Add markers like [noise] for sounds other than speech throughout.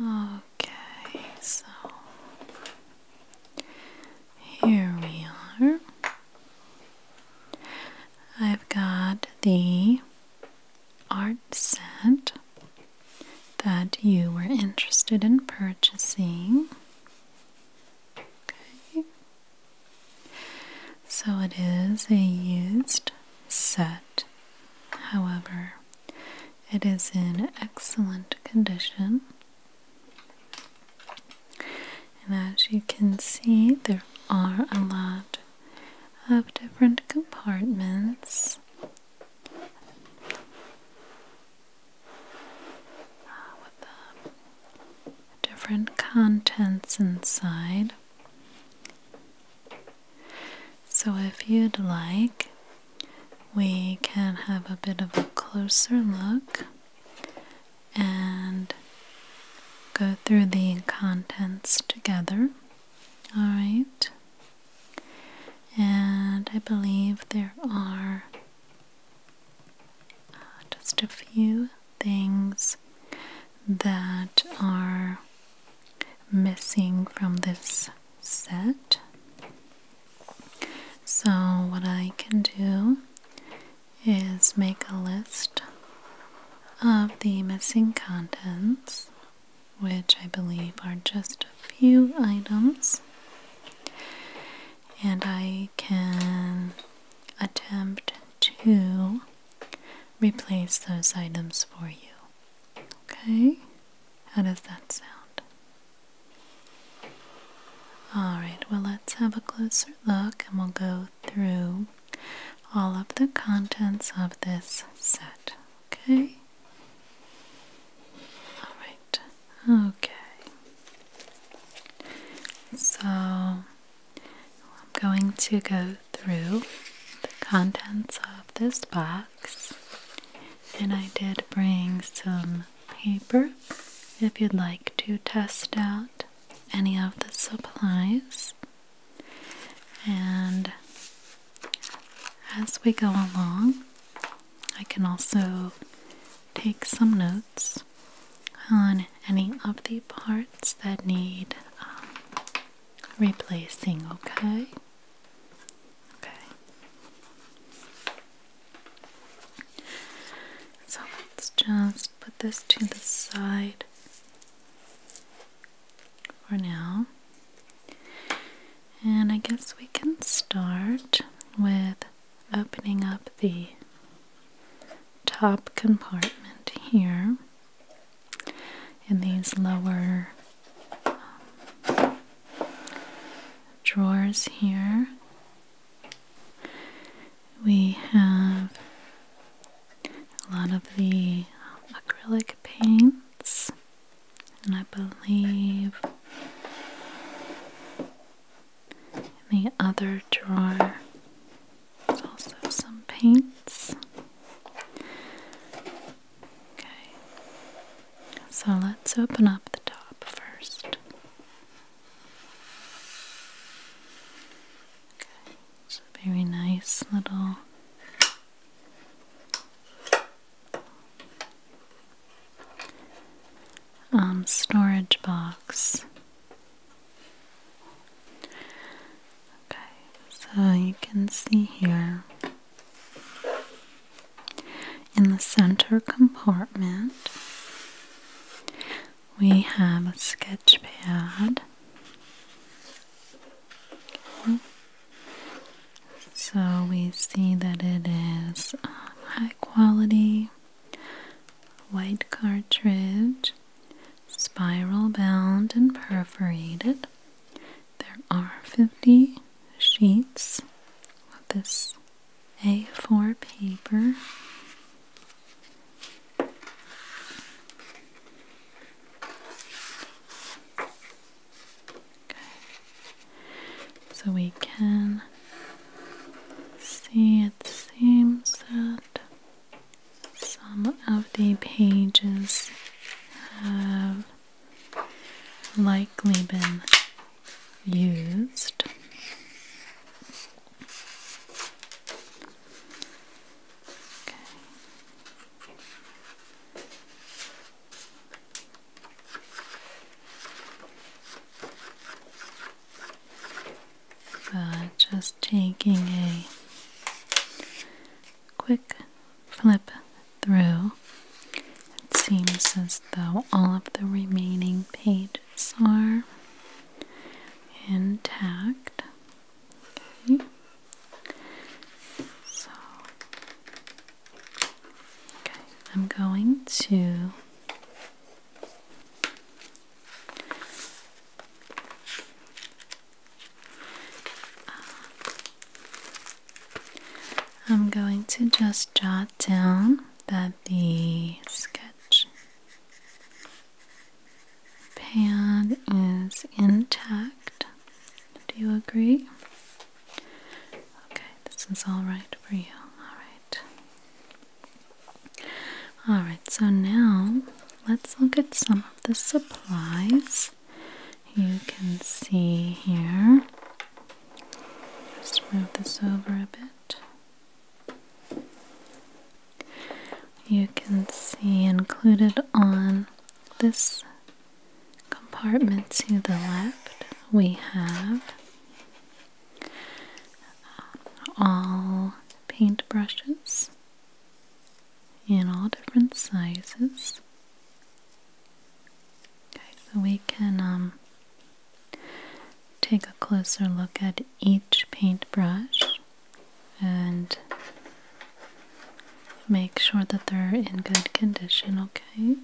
Okay, so here we are. I've got the art set that you were interested in purchasing. Okay. So it is a used set. However, it is in excellent condition. And as you can see, there are a lot of different compartments. Ah, with different contents inside. So if you'd like, we can have a bit of a closer look and go through the contents together. Alright. And I believe there are just a few things that are missing from this set. So, what I can do is make a list of the missing contents, which I believe are just a few items, and I can attempt to replace those items for you. Okay, how does that sound? Alright, well, let's have a closer look and we'll go through all of the contents of this set. Okay? Alright, okay. So, I'm going to go through the contents of this box. And I did bring some paper if you'd like to test out any of the supplies. And as we go along, I can also take some notes on any of the parts that need um, replacing, okay? Okay. So let's just put this to the side for now. And I guess we can start with opening up the top compartment here and these lower drawers here. We have a lot of the acrylic paints, and I believe in the other drawer there's also some paints. Okay, so let's open up the top first. Okay, it's a very nice little um, storage box. Okay, so you can see here. In the center compartment, we have a sketch pad. So we see that it is uh, high quality, white cartridge, spiral bound and perforated, there are 50 sheets of this A4 paper. So we can see it seems that some of the pages have likely been used just taking a quick flip through, it seems as though all of the remaining pages are intact. Okay. So, okay, I'm going to I'm going to just jot down that the sketch pad is intact. Do you agree? Okay, this is all right for you. All right. All right, so now let's look at some of the supplies you can see here. Just move this over a bit. You can see included on this compartment to the left, we have all paint brushes in all different sizes so we can um, take a closer look at each paintbrush and make sure that they're in good condition, okay?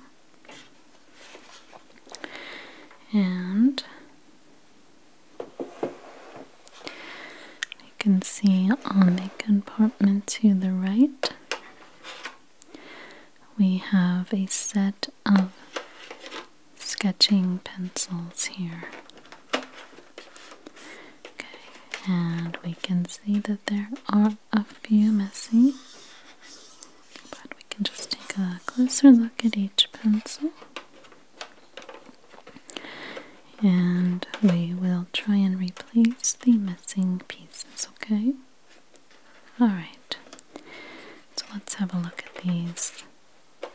And you can see on the compartment to the right we have a set of sketching pencils here. Okay, and we can see that there are a few missing, but we can just take a closer look at each pencil. And we will try and replace the missing pieces, okay? All right, so let's have a look at these um,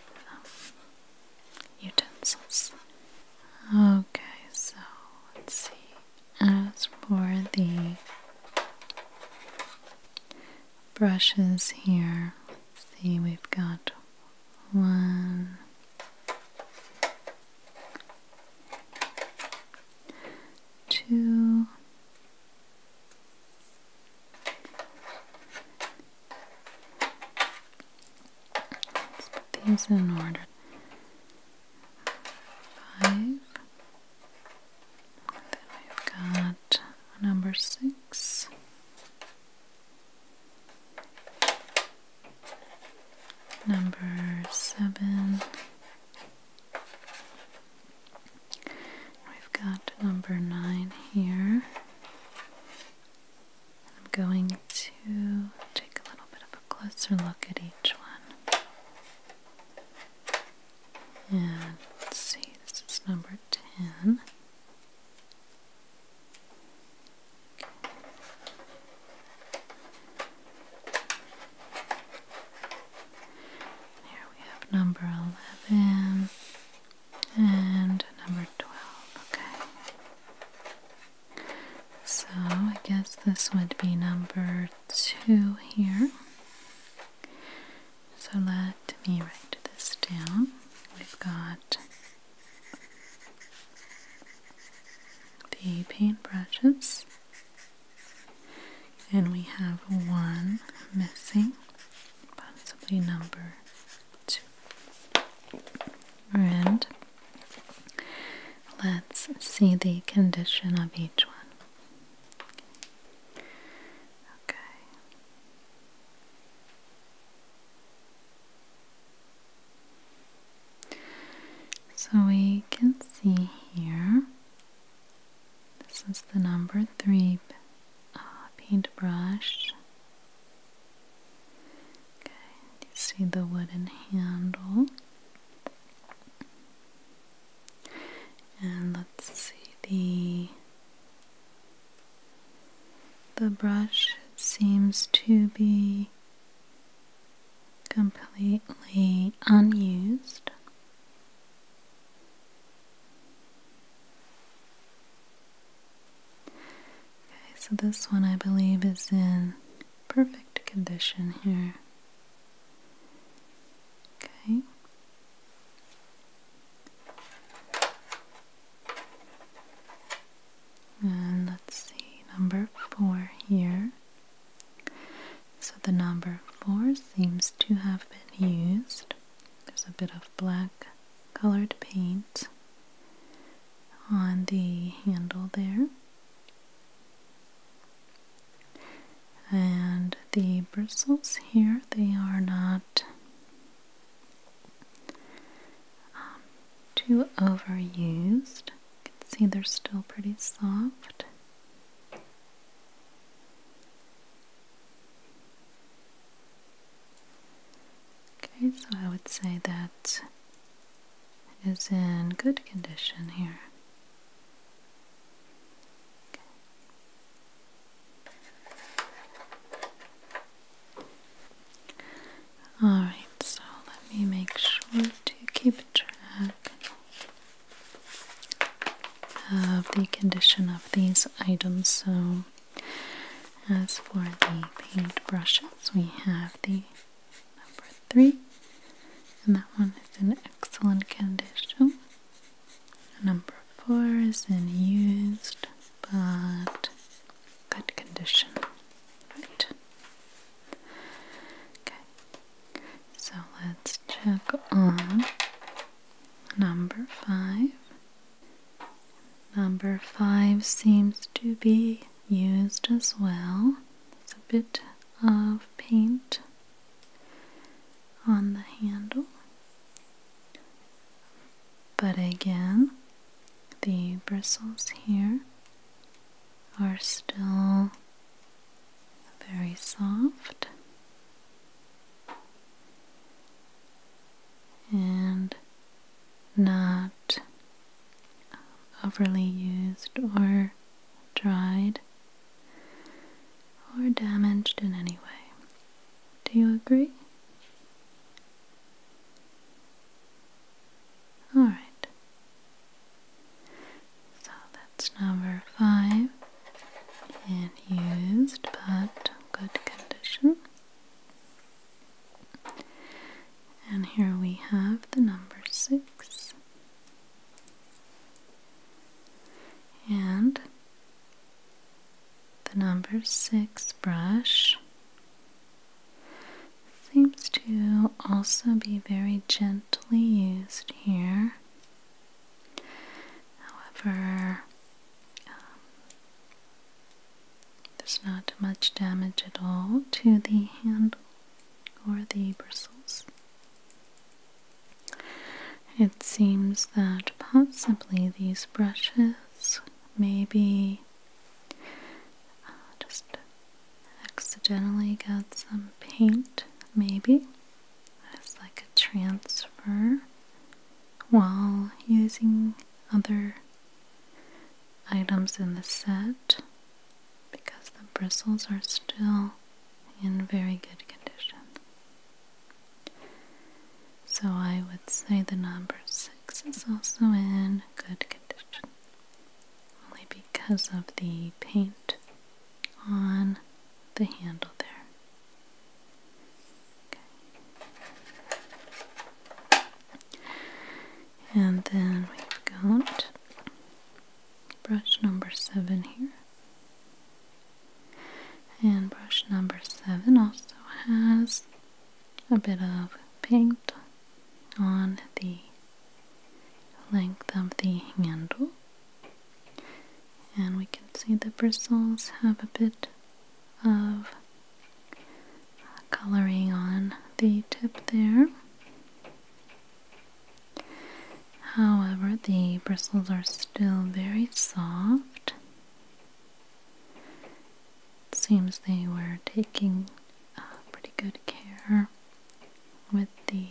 utensils. Okay, so let's see. As for the brushes here, let's see, we've got one, two, let's put these in order, five, then we've got number six. Number seven, We've got number nine here. I'm going to take a little bit of a closer look at each one. And let's see, this is number 10. Here we have number 11 and number 12. Okay. So I guess this would be number 2 here. So let me write this down. We've got the paint brushes and we have one missing, possibly number two. And let's see the condition of each one. Okay. So we can see here this is the number three uh, paintbrush. Okay, see the wooden handle. And let's see the the brush seems to be completely unused. Okay, so this one I believe is in perfect condition here. Okay. And let's see, number four here. So the number 4 seems to have been used. There's a bit of black colored paint on the handle there. And the bristles here, they are not um, too overused. You can see they're still pretty soft. Okay, so I would say that is in good condition here. Alright, so let me make sure to keep track of the condition of these items. So, as for the paint brushes, we have the number three, and that one is in excellent condition. Number four is in used but good condition. Right. Okay. So let's check on number five. Number five seems to be used as well. It's a bit of paint on the handle. But again, the bristles here are still very soft and not overly used or dried or damaged in any way. Do you agree? All right. So that's number five and used but good condition. And here we have the number six. And the number six brush seems to also be very gently used here However, um, there's not much damage at all to the handle or the bristles. It seems that possibly these brushes maybe uh, just accidentally got some paint, maybe, as like a transfer while using other items in the set because the bristles are still in very good condition. So I would say the number 6 is also in good condition only because of the paint on the handle there. Okay. And then we've got brush number seven here. And brush number seven also has a bit of paint on the length of the handle. And we can see the bristles have a bit of coloring on the tip there. However, the bristles are still very soft. seems they were taking uh, pretty good care with the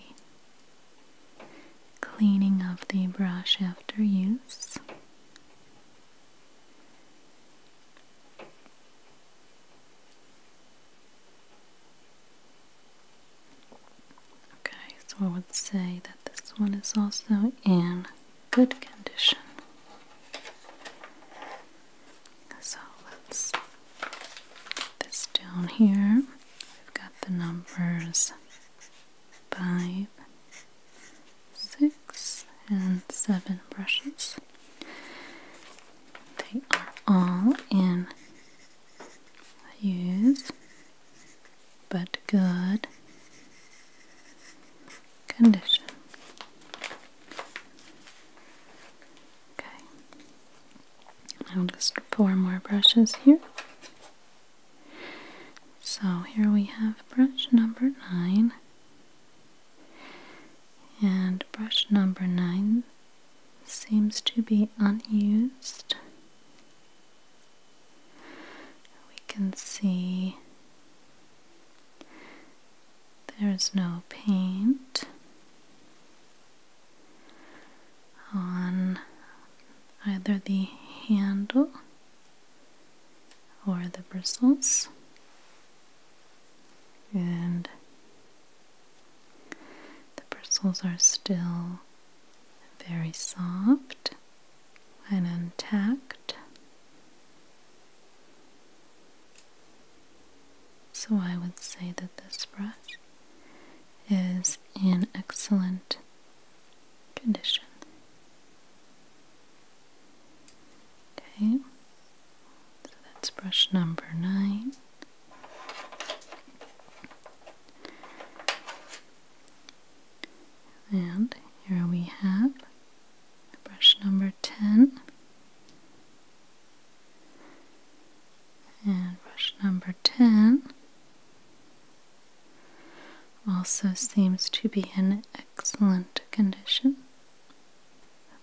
Cleaning of the brush after use. Okay, so I would say that this one is also in good condition. So let's put this down here we've got the numbers 5, 6, and 7 brushes. They are all in use, but good condition. Okay, I'll just four more brushes here. So here we have brush number nine, and brush number nine seems to be unused. We can see there's no paint on either the handle or the bristles and the bristles are still very soft and intact. So I would say that this brush is in excellent condition. Okay, so that's brush number nine. And here we have brush number 10 and brush number 10 also seems to be in excellent condition.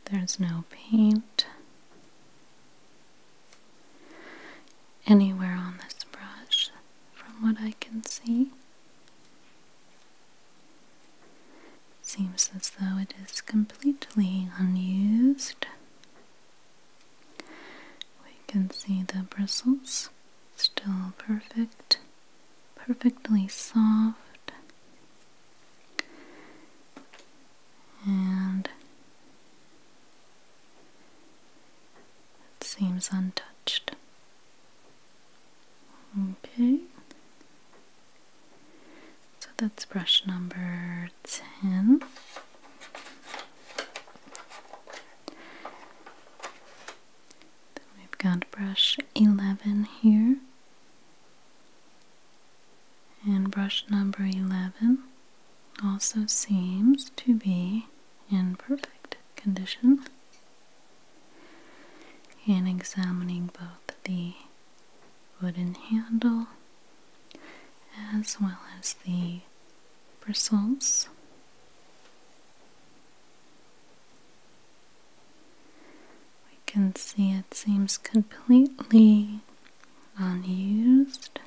There's no paint anywhere on this brush from what I can see. Seems as though it is completely unused. We can see the bristles still perfect, perfectly soft, and seems untouched. Okay. So that's brush number 10 we've got brush 11 here. And brush number 11 also seems to be in perfect condition. And examining both the wooden handle as well as the bristles. We can see it seems completely unused.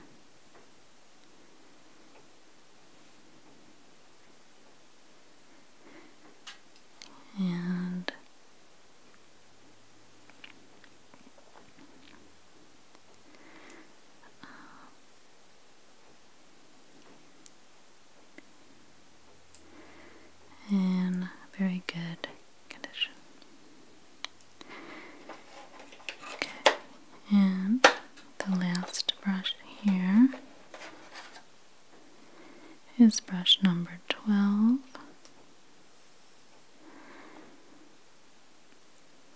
And in very good condition. Okay, and the last brush here is brush number 12.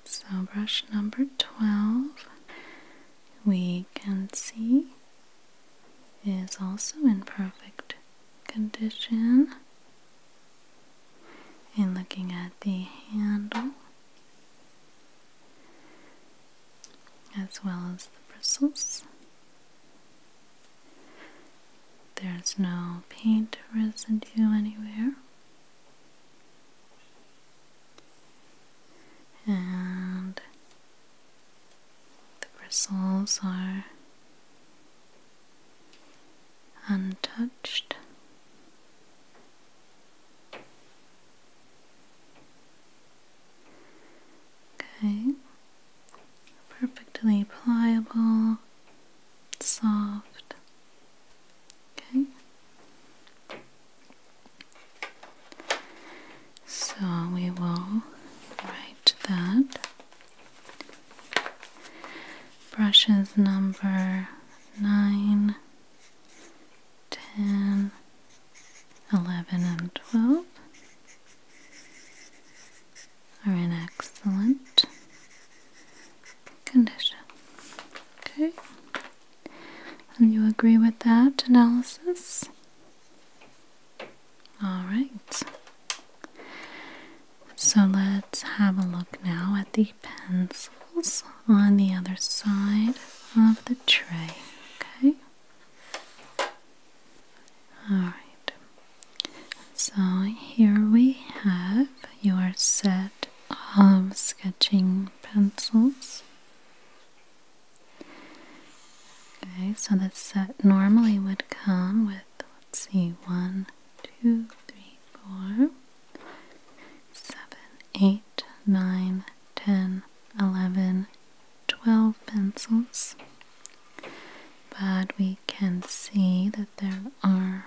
So, brush number 12, we can see, is also in perfect condition. And looking at the handle, as well as the bristles, there's no paint residue anywhere and the bristles are untouched. Okay, perfectly pliable, soft, Okay. So we will write that. Brushes number nine, ten, eleven, and twelve are in excellent condition. Okay. And you agree with that analysis? All right. So let's have a look now at the pencils on the other side of the tray. Okay. All right. So here we have your set of sketching pencils. Okay, so this set normally would come with, let's see, one, two, three, four, seven, eight, nine, ten, eleven, twelve pencils. But we can see that there are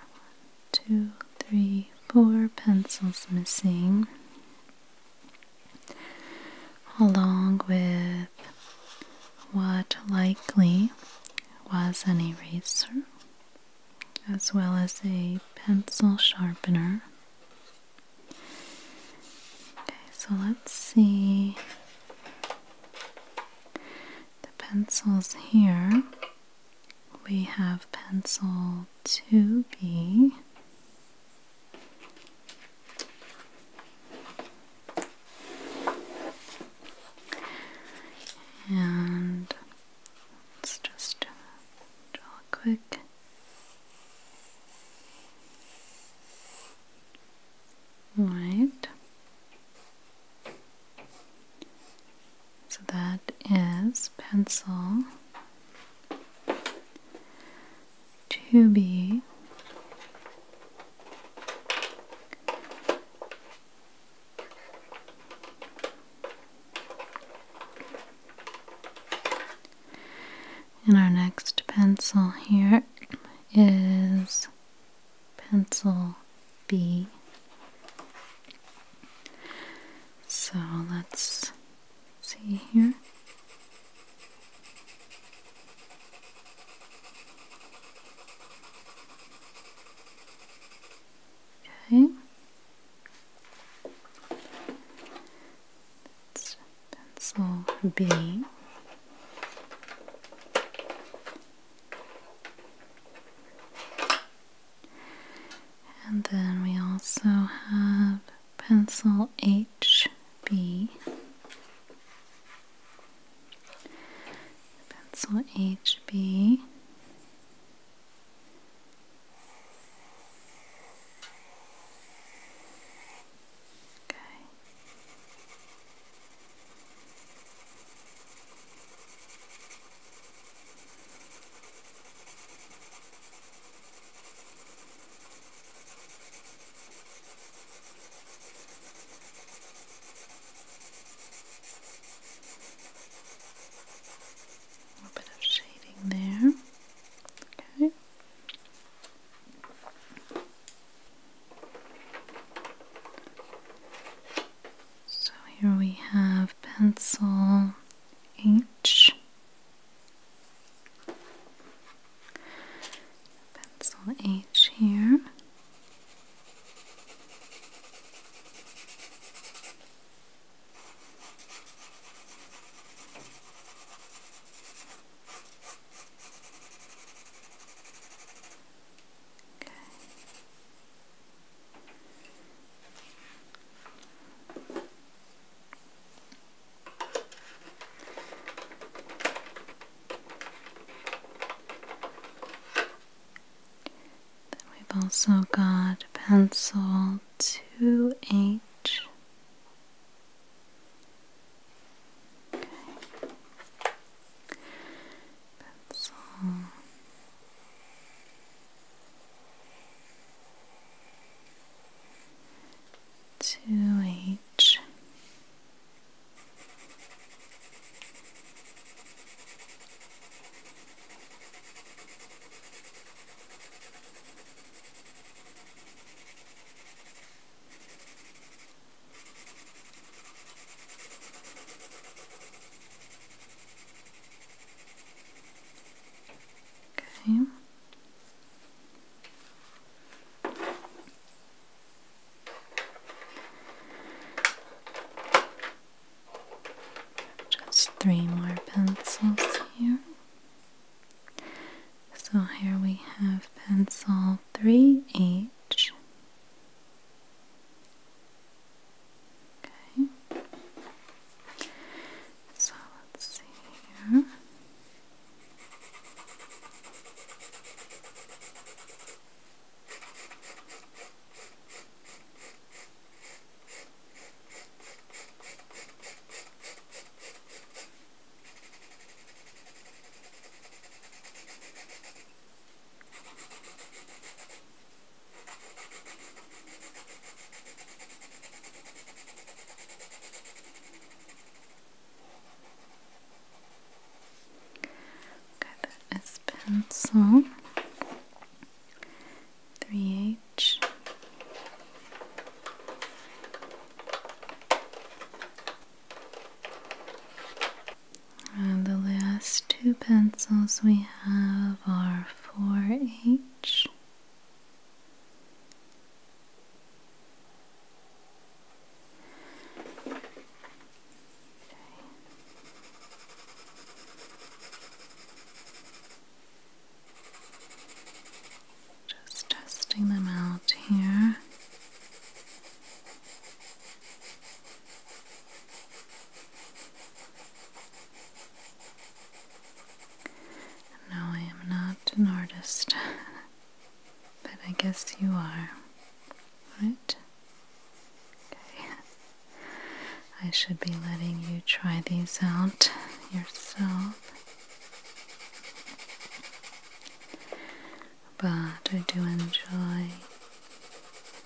two, three, four pencils missing, along with what likely was an eraser, as well as a pencil sharpener. Okay, so let's see the pencils here we have pencil 2B. And let's just draw right so that is pencil to be And our next pencil here is pencil B. So let's see here okay that's pencil B and then we also have pencil HB. Pencil HB. Okay. A bit of shading there. Okay. So here we have pencil H Pencil H here. Okay. Then we've also got pencil 2H. Okay. Pencil Two H. okay just three more pencils here. So here we have pencil 3H. Okay. So let's see here. Okay. Okay, that is pencil. 3H. And the last two pencils we have are 4H just testing them out here. No, I am not an artist, [laughs] but I guess you are, right? Okay. I should be letting you try these out yourself. But I do enjoy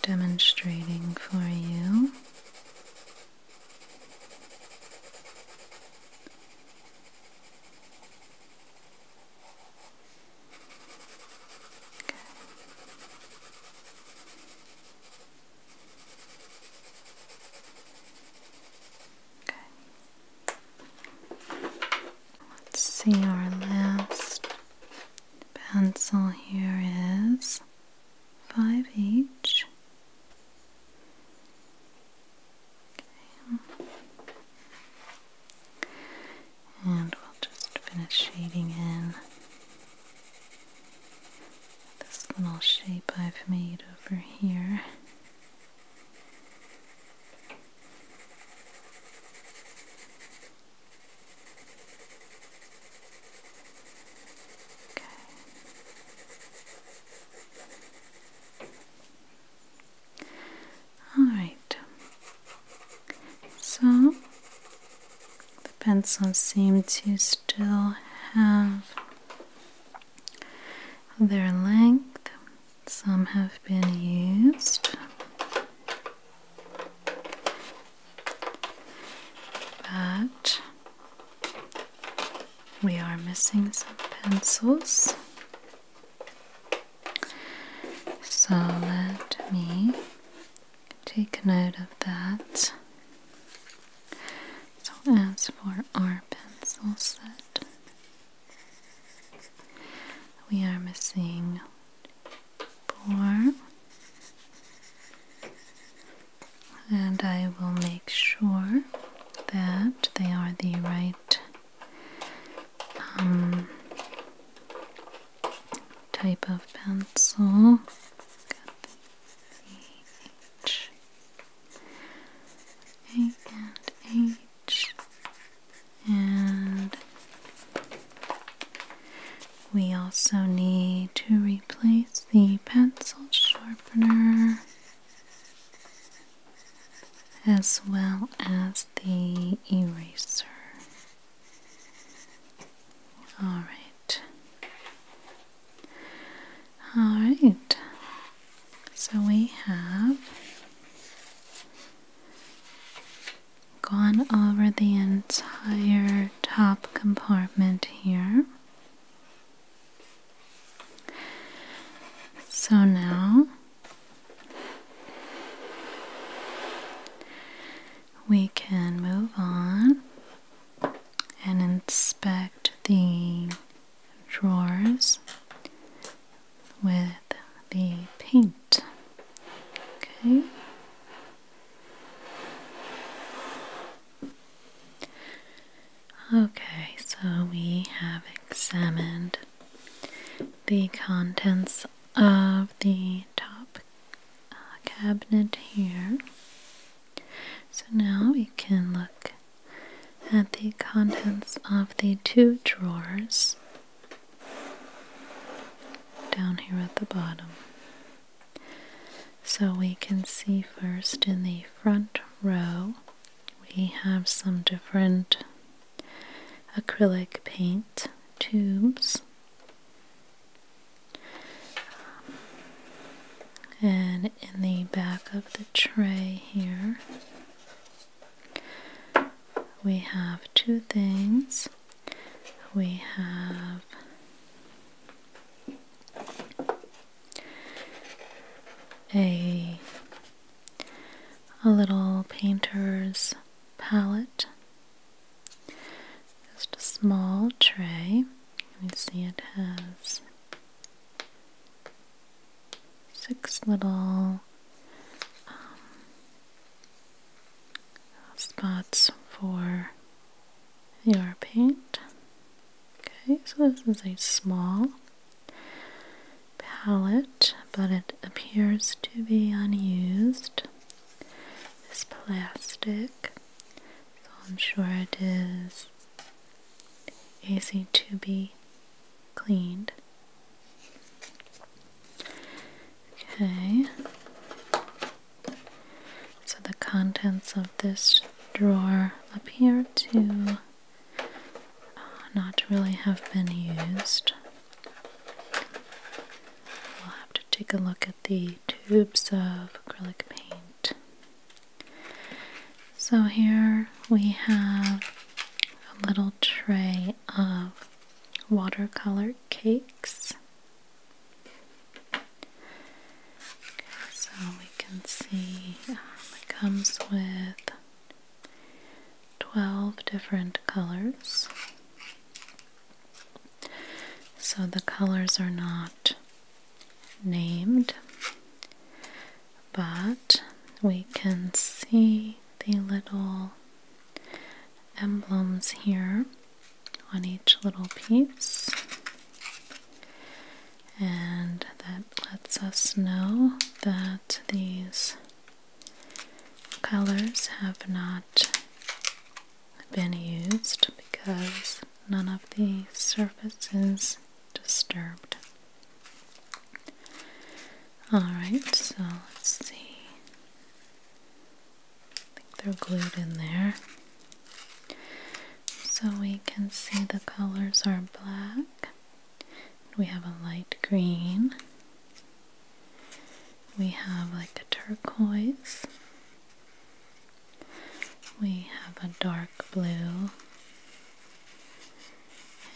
demonstrating for you Let's see, our last pencil here is five each. Okay. And we'll just finish shading in this little shape I've made over here. Okay. Alright, so the pencils seem to still have their length, some have been used. But we are missing some pencils. So let me take note of that. So, as for our pencil set, we are missing four, and I will make sure that they are the right um, type of pencil. Got and H, and we also need to replace the pencil sharpener as well as the eraser. All right. All right. So we have gone over the entire top compartment here. So now we can move on and inspect the drawers with the paint. Okay. Okay, so we have examined the contents of the top uh, cabinet here. So now we can look at the contents of the two drawers down here at the bottom. So we can see first in the front row we have some different acrylic paint tubes and in the back of the tray here we have two things we have a a little painter's palette just a small tray you see it has six little um, spots for your paint Okay, so this is a small palette, but it appears to be unused. It's plastic, so I'm sure it is easy to be cleaned. Okay, so the contents of this drawer appear to uh, not really have been used. We'll have to take a look at the tubes of acrylic paint. So here we have a little tray of watercolor cakes so we can see um, it comes with 12 different colors. So the colors are not named, but we can see the little emblems here on each little piece and that lets us know that these colors have not been used because none of the surface is disturbed. Alright, so let's see. I think they're glued in there. So we can see the colors are black, we have a light green. We have like a turquoise. We have a dark blue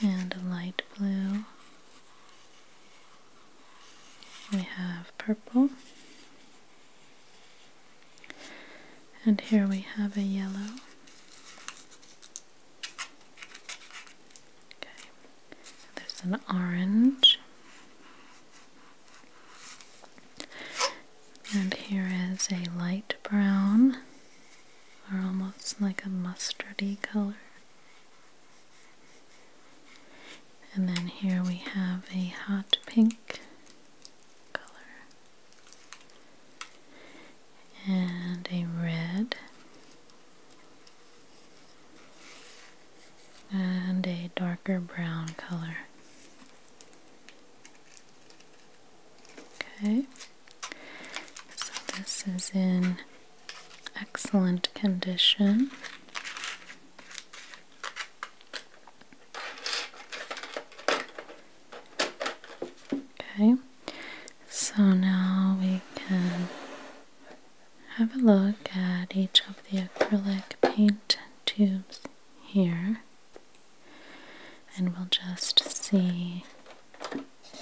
and a light blue. We have purple. And here we have a yellow. Okay, there's an orange. And here is a light brown, or almost like a mustardy color. And then here we have a hot pink color and a red and a darker brown color. Okay, so this is in excellent condition. Okay. So now we can have a look at each of the acrylic paint tubes here and we'll just see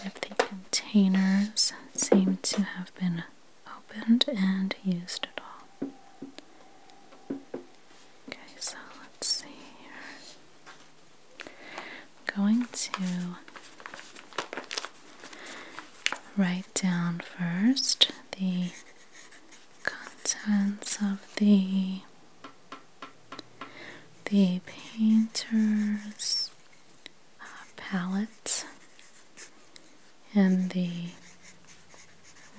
if the containers seem to have been opened and used at all. Okay, so let's see I'm going to write down first the contents of the the painter's uh, palette and the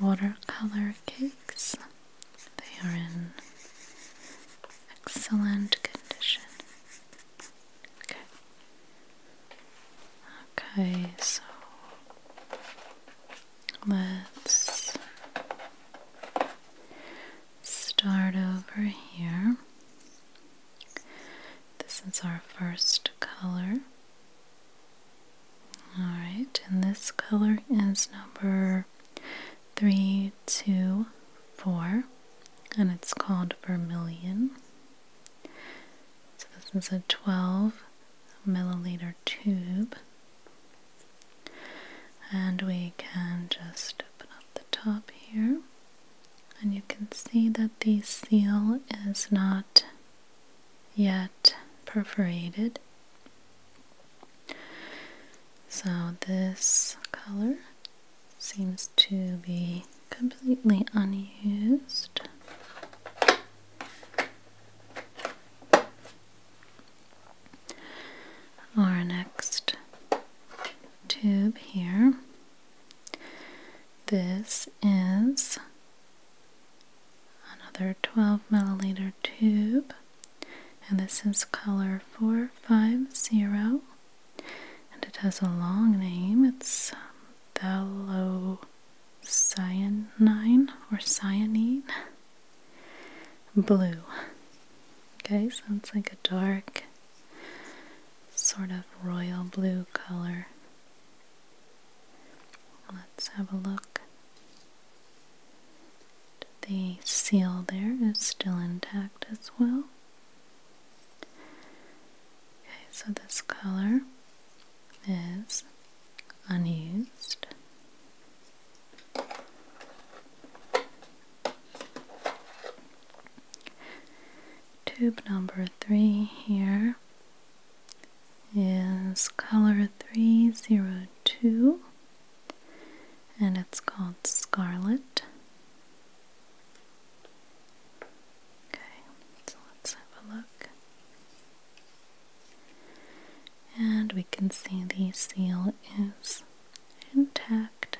watercolor cakes they are in excellent condition. Okay. Okay, so let's start over here. This is our first color. Alright, and this color is number three, two, four, and it's called Vermilion. So, this is a 12 milliliter tube, and we can just open up the top here, and you can see that the seal is not yet perforated. So, this color seems to be completely unused. Our next tube here. This is another 12 milliliter tube and this is color 450 and it has a long name it's um, cyanine or cyanine blue okay so it's like a dark sort of royal blue color let's have a look the seal there is still intact as well. Okay, so this color is unused. Tube number three here is color 302 and it's called Scarlet. Okay, so let's have a look. And we can see the seal is intact.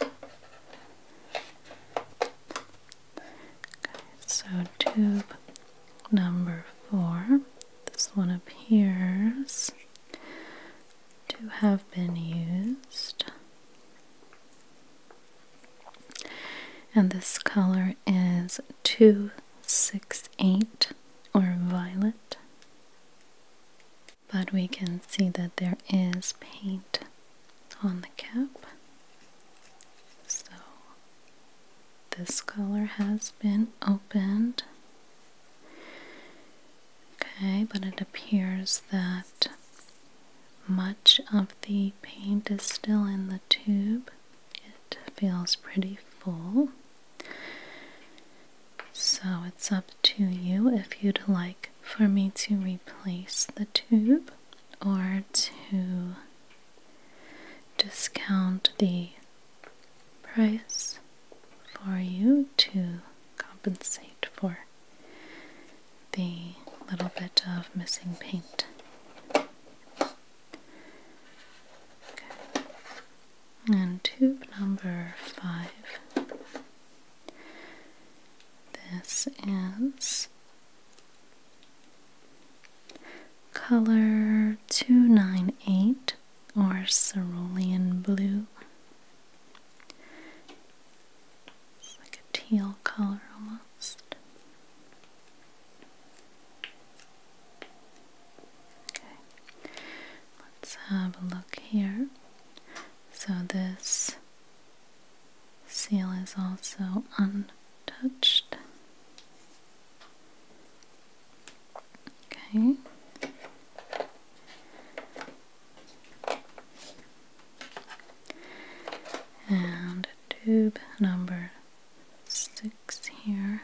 Okay. so tube number four. This one appears to have been used. And this color is 268 or violet. But we can see that there is paint on the cap. So this color has been opened. Okay, but it appears that much of the paint is still in the tube. It feels pretty full. So it's up to you if you'd like for me to replace the tube or to discount the price for you to compensate for the little bit of missing paint. And tube number five. This is color 298 or cerulean blue. It's like a teal color almost. Okay, let's have a look here. So, this seal is also untouched. Okay. And tube number six here.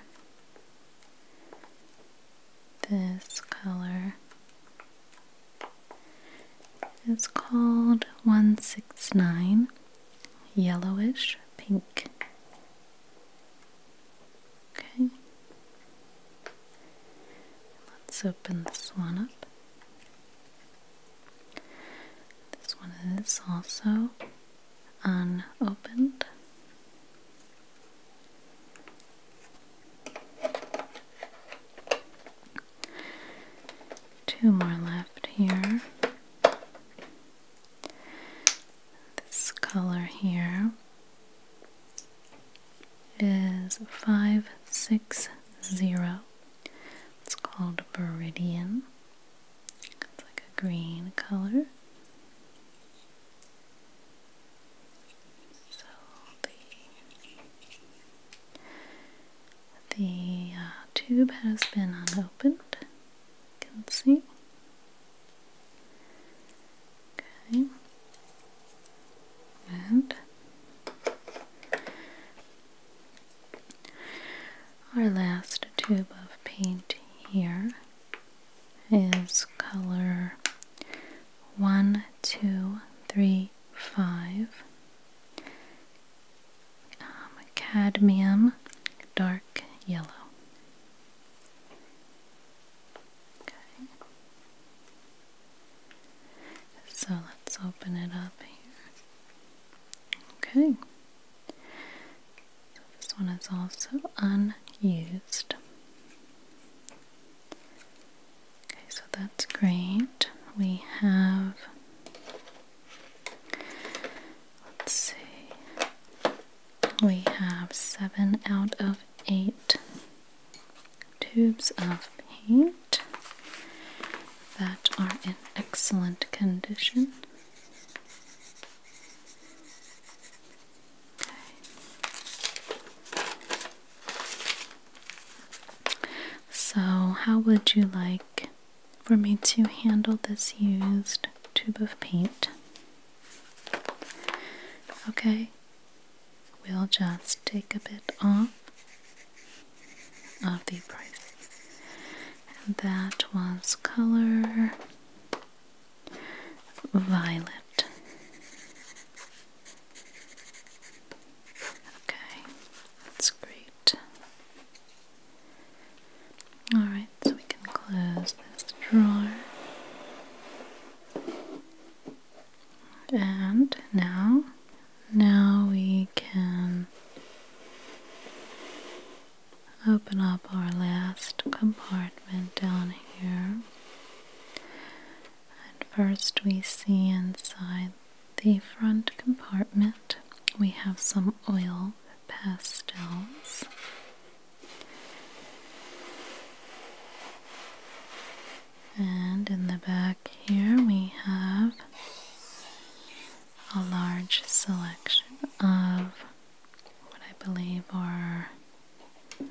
This color is called 169 yellowish pink. Okay. Let's open this one up. This one is also unopened. Two more left here. This color here is 560. It's called Viridian. It's like a green color. So the the uh, tube has been unopened. You can see Okay. And our last tube of paint here is color one, two, three, five. Um, cadmium dark yellow. Okay. So let's open it up here. Okay. So this one is also unused. Okay, so that's great. We have let's see we have seven out of eight tubes of paint that are in excellent condition. So, how would you like for me to handle this used tube of paint? Okay, we'll just take a bit off of the price. that was color violet. Okay, that's great. Alright, so we can close this drawer. And now, now we can open up our last compartment down here. And first we see inside the front compartment we have some oil pastels. And in the back here, we have a large selection of what I believe are um,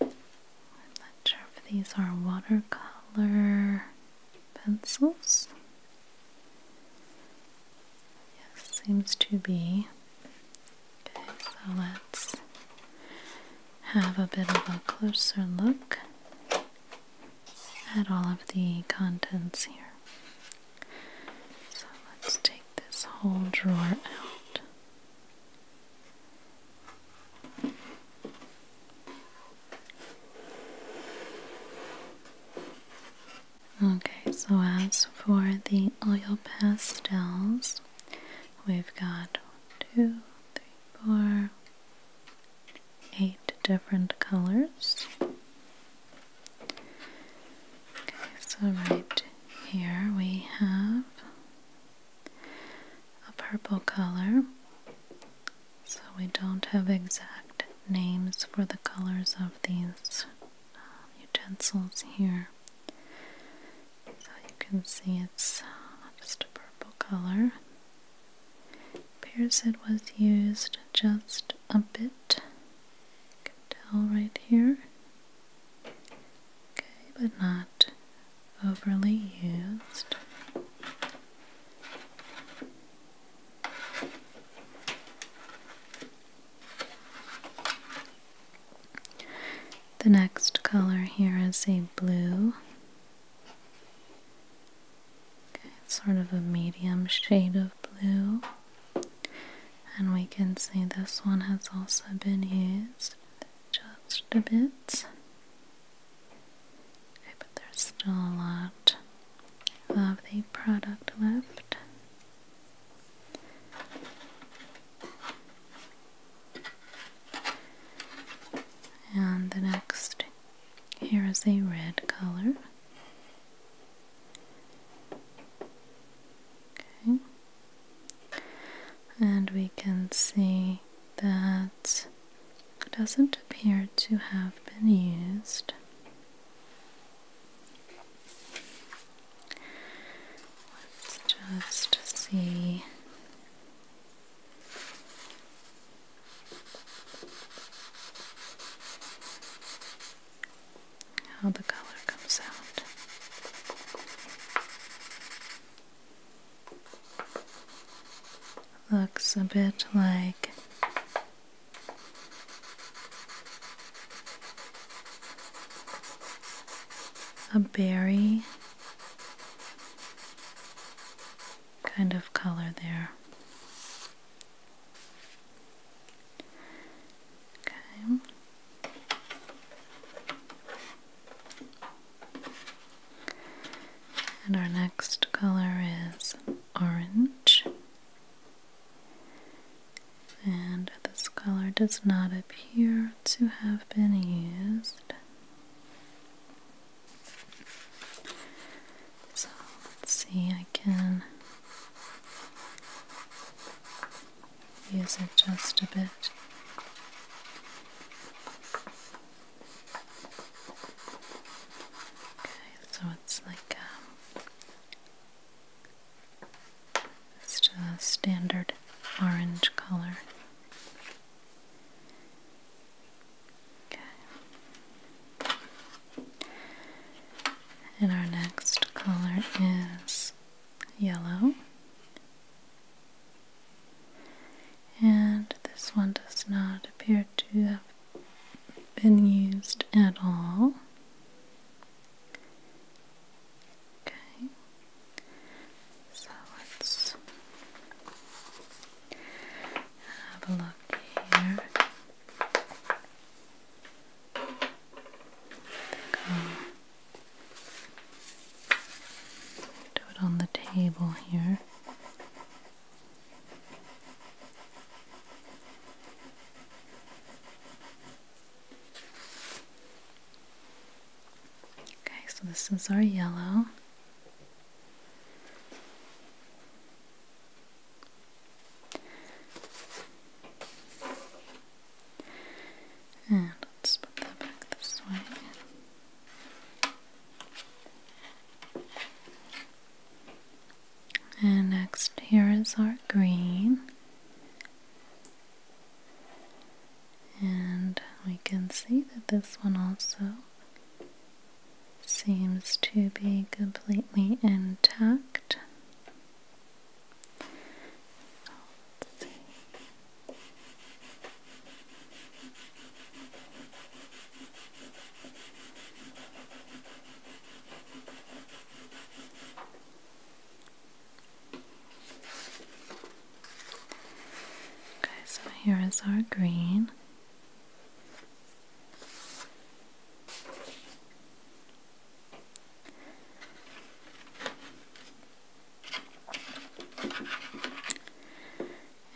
not sure if these are watercolor pencils. Yes, seems to be. Okay, so let's have a bit of a closer look at all of the contents here. So let's take this whole drawer out. Okay, so as for the oil pastels, we've got two, three, four, eight different colors. Okay, so right here we have a purple color. So we don't have exact names for the colors of these uh, utensils here. So you can see it's uh, just a purple color. It appears it was used just a bit. You can tell right here. Okay, but not overly used. The next color here is a blue. it's sort of a medium shade of blue. And we can see this one has also been used just a bit. Okay, but there's still a lot of the product left. And the next here is a red color. Okay. And we can see that doesn't appear to have been used Let's just see. How the color comes out. Looks a bit like a berry kind of color there. Okay. And our next color is orange and this color does not appear to have been used. So let's see, I can use it just a bit. Okay, so it's like um, just a standard orange color. Okay. And our next color is yellow. And this one does not appear to have been used at all. Okay, so let's have a look here. There we Do it on the table here. Okay, so this is our yellow. And put that back this way. And next, here is our green. And we can see that this one also seems to be completely intact. Okay, so here is our green.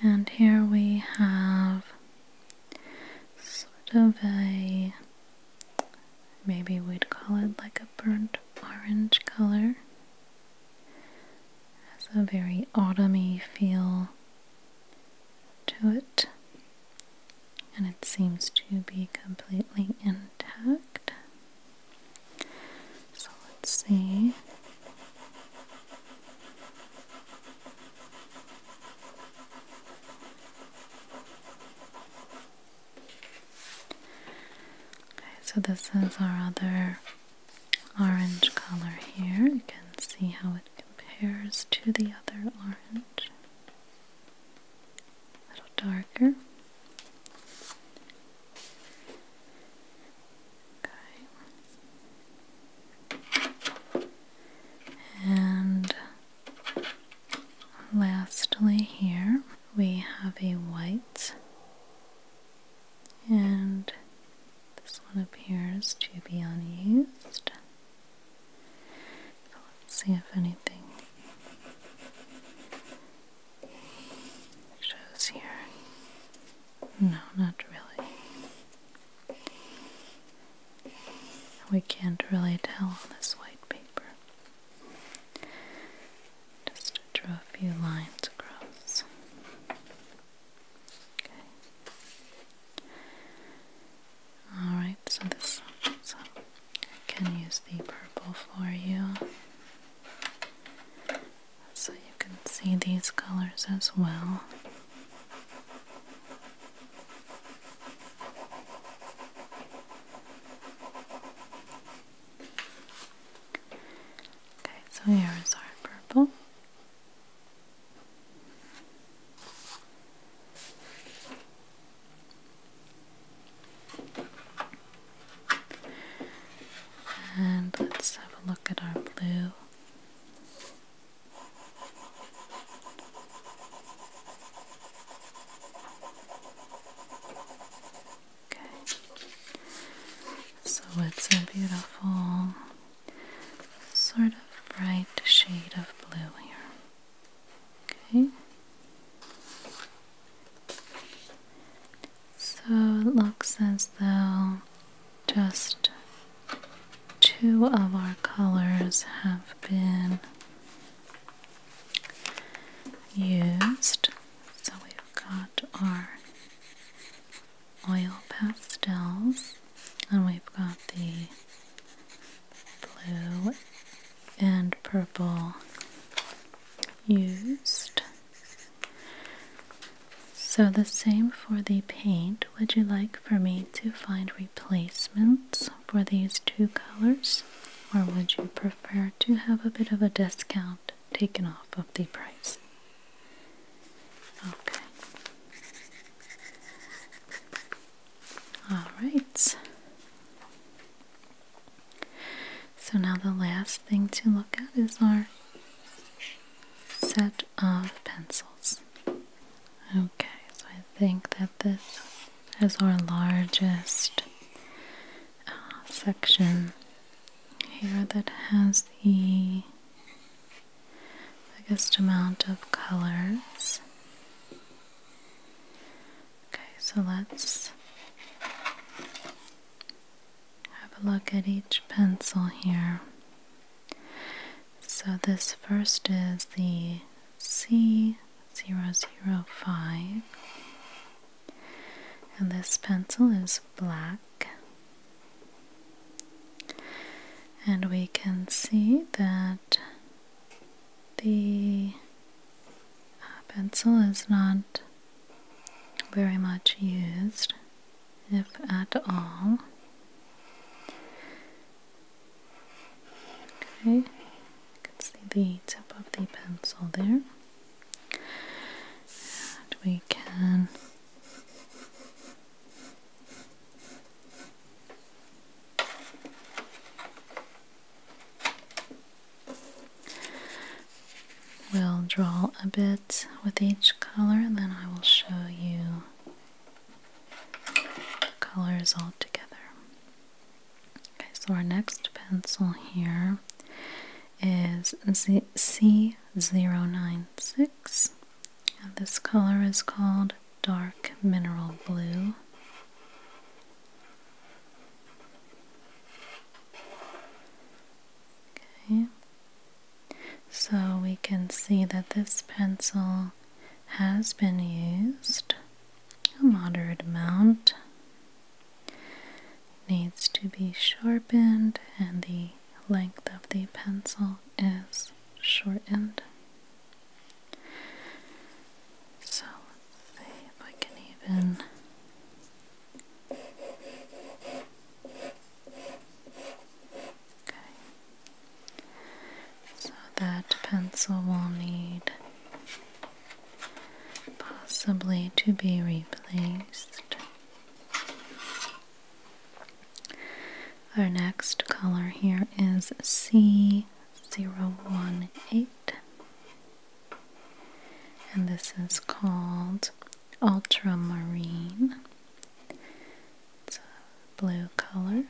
And here we have sort of a Maybe we'd call it like a burnt orange color. Has a very autumny feel to it. And it seems to be completely intact. So let's see. Okay, so this is our other orange color here. You can see how it compares to the other orange. A little darker. Okay. And Lastly, here we have a white, and this one appears to be unused. let's see if anything shows here. No, not really. We can't really tell on this white paper. Just draw a few lines across. Okay. Alright, so this so I can use the purple for you. So you can see these colors as well. Okay, so here is our purple. And let's have a look at our blue. Okay. So it's a beautiful sort of bright shade of blue here. Okay. So it looks as though just two of our colors have been used. So we've got our oil pastels, and we've got the blue and purple used. So, the same for the paint. Would you like for me to find replacements for these two colors, or would you prefer to have a bit of a discount taken off of the price? Okay. All right. So now the last thing to look at is our set of pencils. Okay, so I think that this is our largest uh, section here that has the biggest amount of colors. Okay, so let's have a look at each pencil here. So, this first is the C zero zero five. And this pencil is black. And we can see that the uh, pencil is not very much used, if at all. Okay, you can see the tip of the pencil there. And we can We'll draw a bit with each color and then I will show you the colors all together. Okay, so our next pencil here C Z C096. And this color is called dark mineral blue. Okay. So we can see that this pencil has been used a moderate amount needs to be sharpened and the length of the pencil is shortened. So see if I can even. Okay. So that pencil will need possibly to be replaced. Our next color here is C018, and this is called Ultramarine. It's a blue color.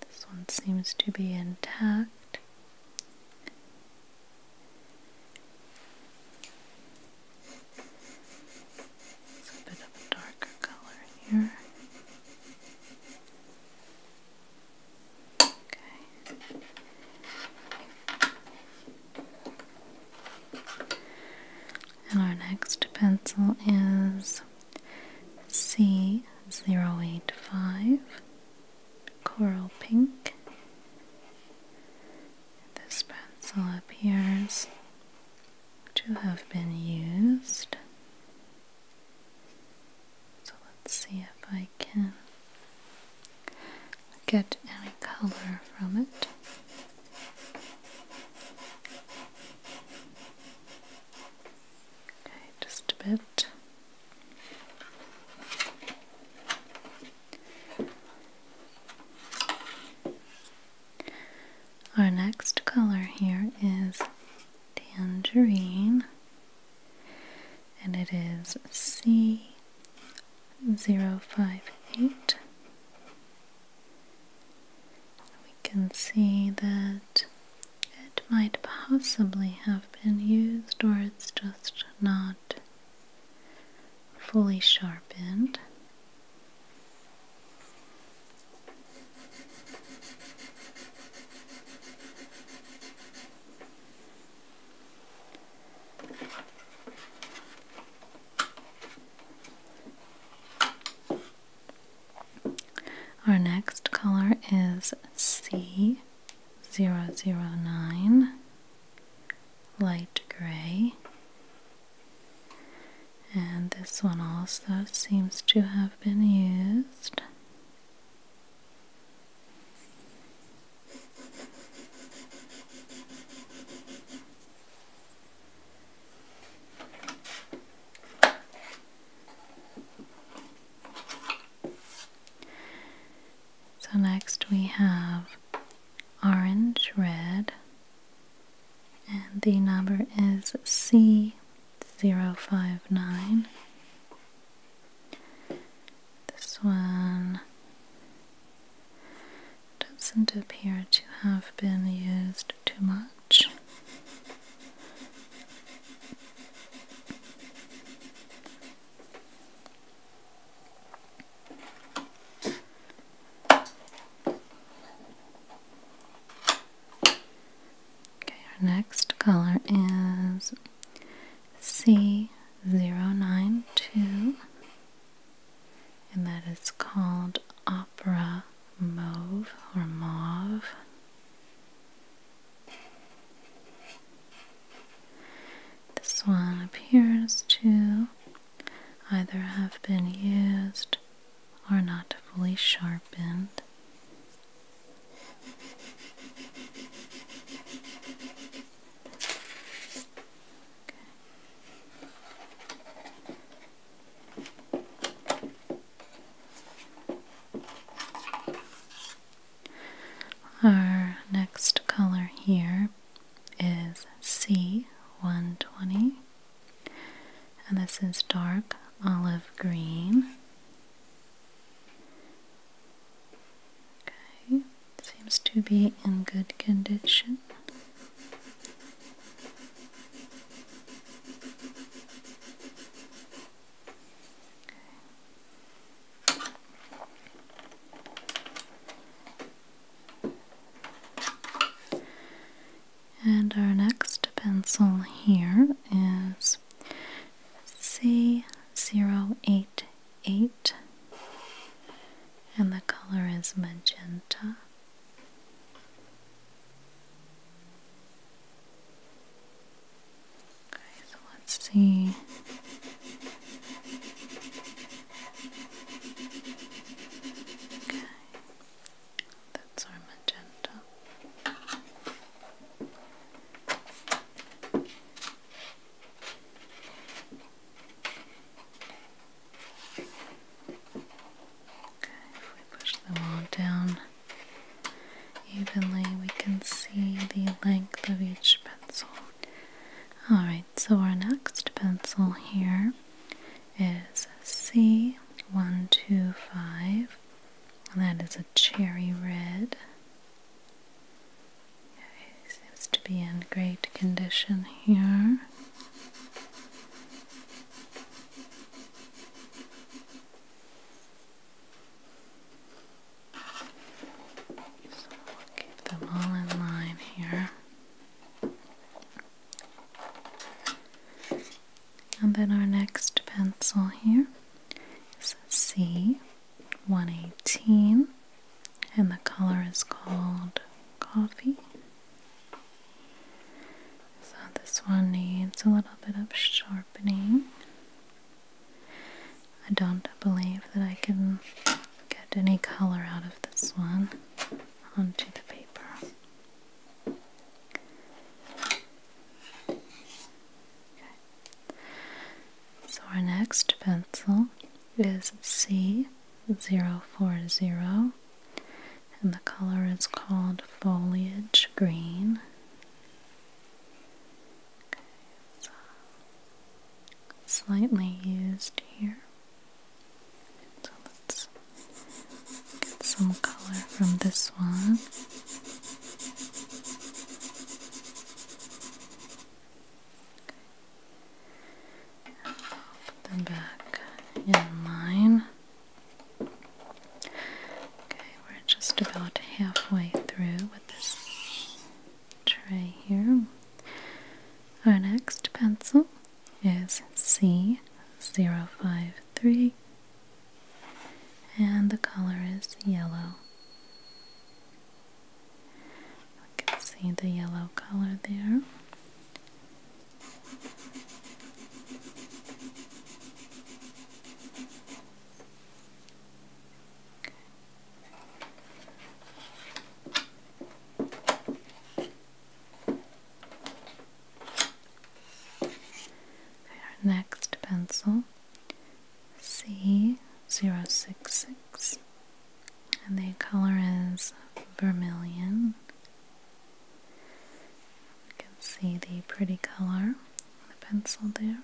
This one seems to be intact. It's a bit of a darker color here. Okay. And our next pencil is C085 Coral Pink. This pencil appears to have been used. So let's see if I can get any color from it. Okay, just a bit. Our next color here is tangerine, and it is C zero five eight. We can see that it might possibly have been used, or it's just not fully sharpened. Our next color is C zero zero nine light gray and this one also seems to have been used so next we have orange, red, and the number is C059. This one doesn't appear to have been used too much. Okay, our next color is C zero nine two, and that is called Opera Mauve or Mauve. This one appears to either have been used or not fully sharpened. Our next color here is C120, and this is dark olive green. Okay, seems to be in good condition. And our next pencil here is C088 and the color is magenta. Okay, so let's see. Okay, that's our magenta. Okay, if we push them all down evenly, we can see the length of each pencil. Alright, so our next pencil here is C125, and that is a cherry red. seems to be in great condition here. So keep them all in line here. And then our next pencil here is C118, and the color is called Coffee. So this one needs a little bit of sharpening. I don't believe that I can get any color out of this one onto the paper. Okay. So our next pencil is C040 and the color is called foliage green slightly used here. So let's get some color from this one. Okay. Put them back in line. Okay, we're just about halfway through with this tray here. Our next pencil is C053 and the color is yellow. You can see the yellow color there our next pencil, C zero six six, and the color is vermilion. You can see the pretty color of the pencil there.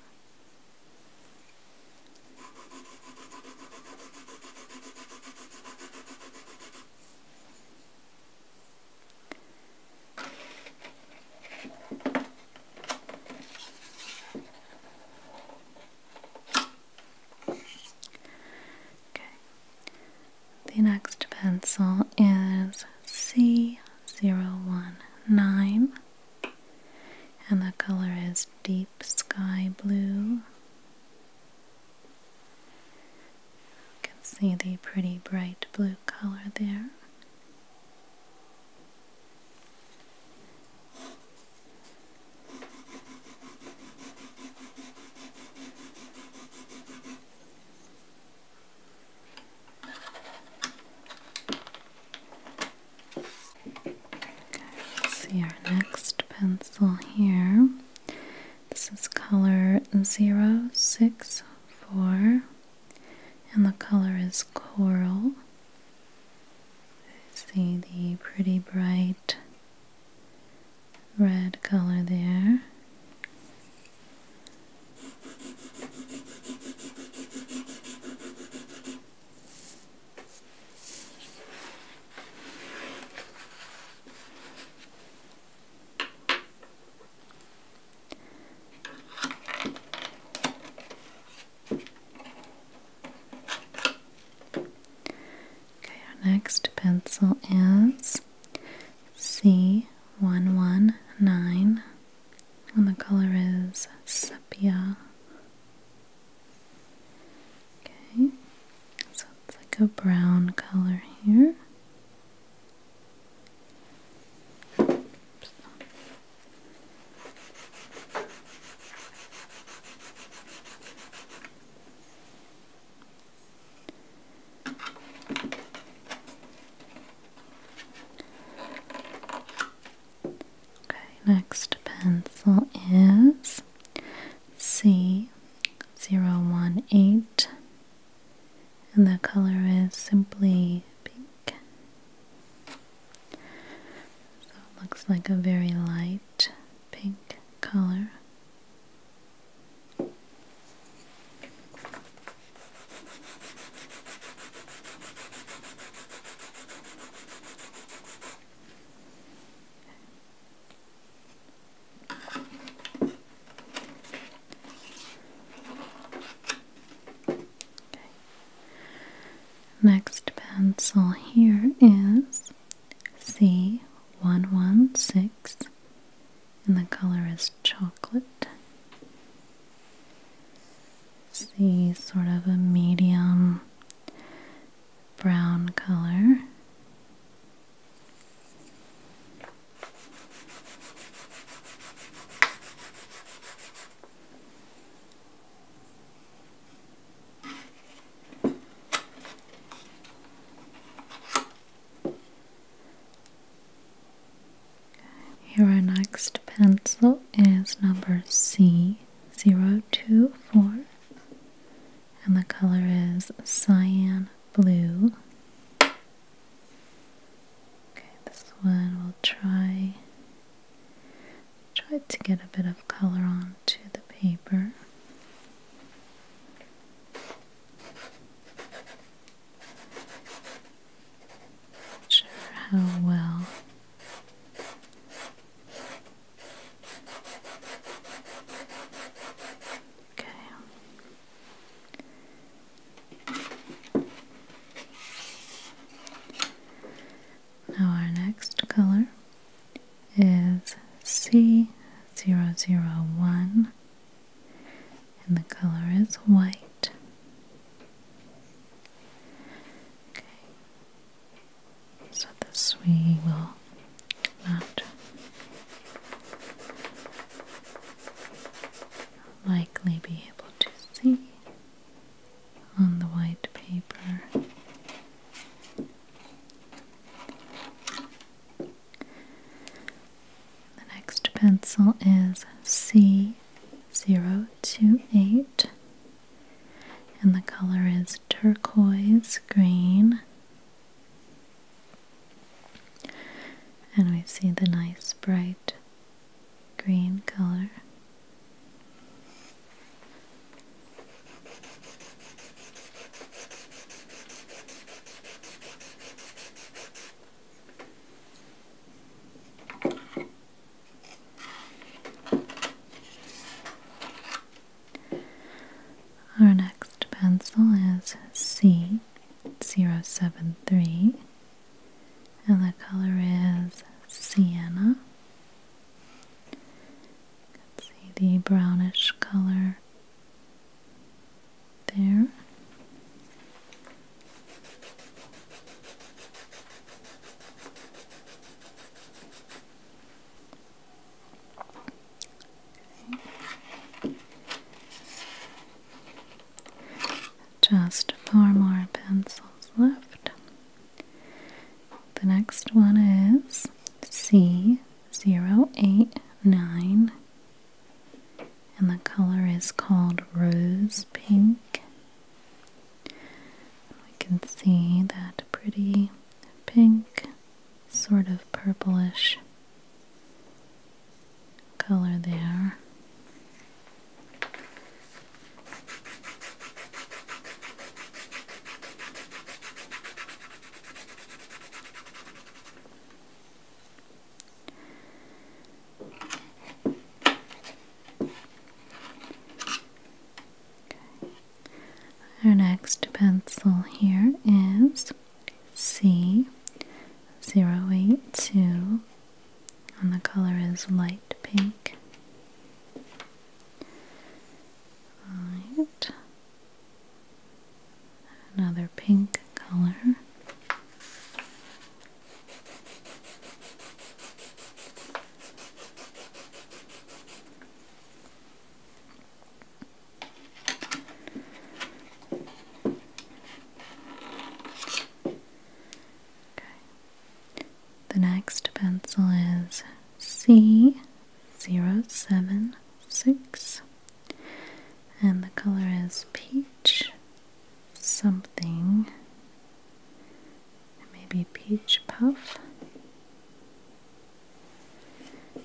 Okay. The next pencil is C zero one nine and the color is deep sky blue. You can see the pretty bright blue color there. Okay, let's see our next pencil here. This is color 064 and the color is coral. See the pretty bright red color there. Okay, our next pencil is C one one nine and the color is sepia. Okay, so it's like a brown color here. Okay, next pencil is C zero one eight and the color is simply pink. So it looks like a very light pink color. Next pencil here is C116 and the color is chocolate see sort of a medium brown color. Here our next pencil is number C. 024 and the color is cyan blue. Okay, this one we'll try try to get a bit of color onto the paper. Not sure how well Okay. Now our next color is C001 and the color is white. Okay. So this we will not likely be able to see on the white paper. The next pencil is C028 and the color is turquoise green. And we see the nice bright green color. Our next pencil is C073 and the color is sienna. see the brownish color there. Just four more pencils left. The next one is C089, and the color is called Rose Pink we can see that pretty pink, sort of purplish color there. Our next pencil here is C082 and the color is light pink. Alright. Another pink color. The next pencil is C zero seven six and the color is peach something maybe peach puff. Okay,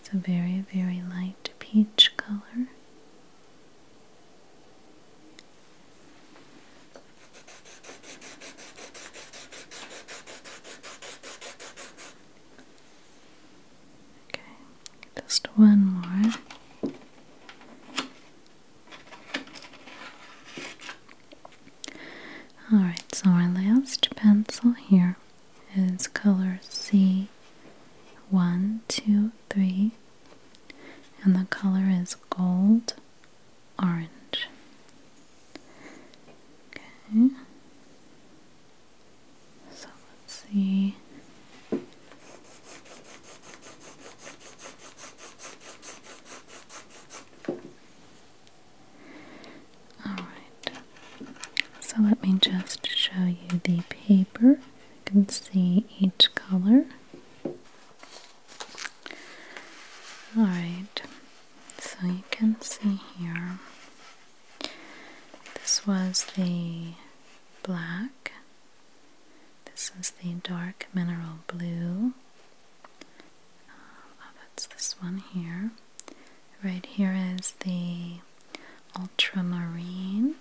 it's a very, very light peach color. Okay, just one more. Alright, so our last pencil here is color C one, two, three, and the color is gold orange. Okay. So let's see. Alright, so let me just show you the paper. You can see each color. Alright, so you can see here this was the black, this is the dark mineral blue. Um, oh, that's this one here. Right here is the ultramarine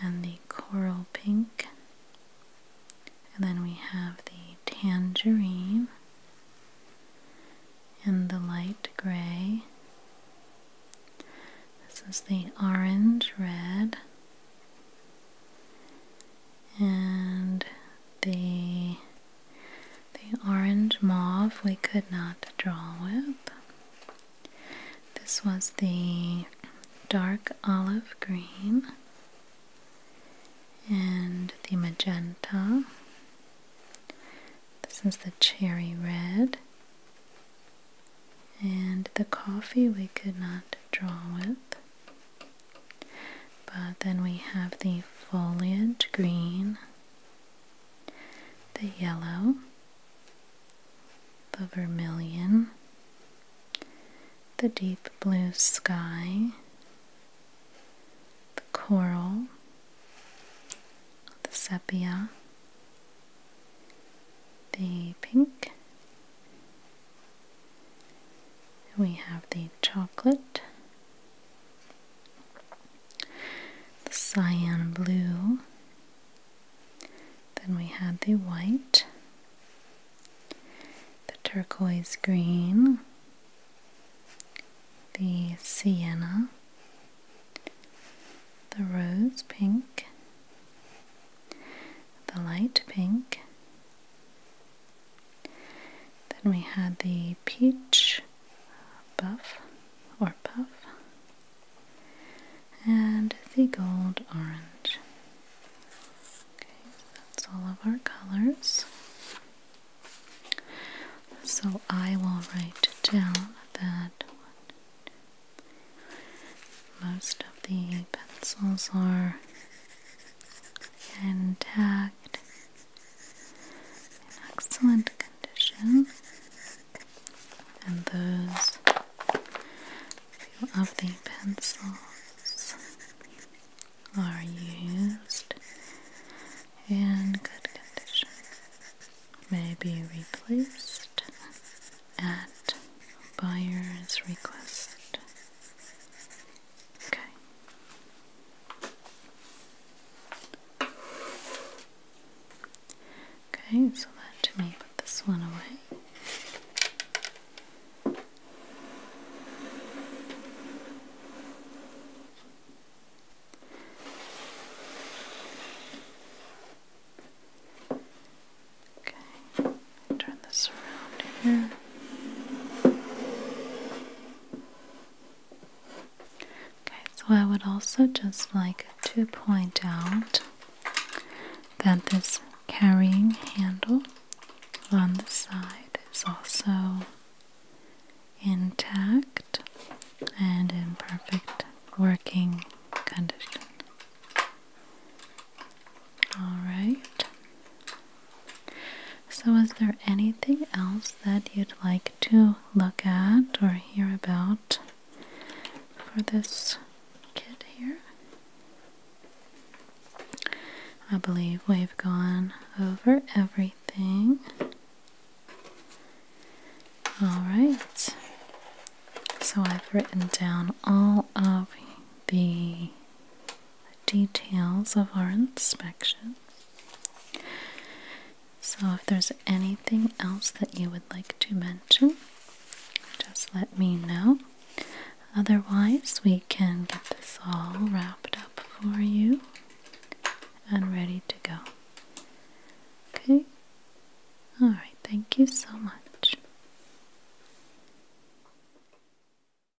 and the coral pink. And then we have the tangerine and the light gray. This is the orange red and the the orange mauve we could not draw with. This was the dark olive green and the magenta. This is the cherry red. And the coffee we could not draw with. But then we have the foliage green, the yellow, the vermilion, the deep blue sky, the coral, the sepia, the pink, we have the chocolate, the cyan blue, then we had the white, the turquoise green, the sienna, the rose pink, the light pink, then we had the peach buff or puff and the gold orange. Okay, so that's all of our colors. So I will write down that Most of the pencils are intact, in excellent condition, and those few of the pencils are used in good condition, may be replaced at buyer's request. Okay. Okay, so that let me put this one away. Okay, turn this around here. Okay, so I would also just like to point out that this carrying handle on the side is also intact and in perfect working condition. All right. So, is there anything else that you'd like to look at or hear about for this kid here? I believe we've gone over everything. All right. So, I've written down all of the details of our inspection. So, if there's anything else that you would like to mention, just let me know. Otherwise, we can get this all wrapped up for you and ready to go. Okay? Alright, thank you so much.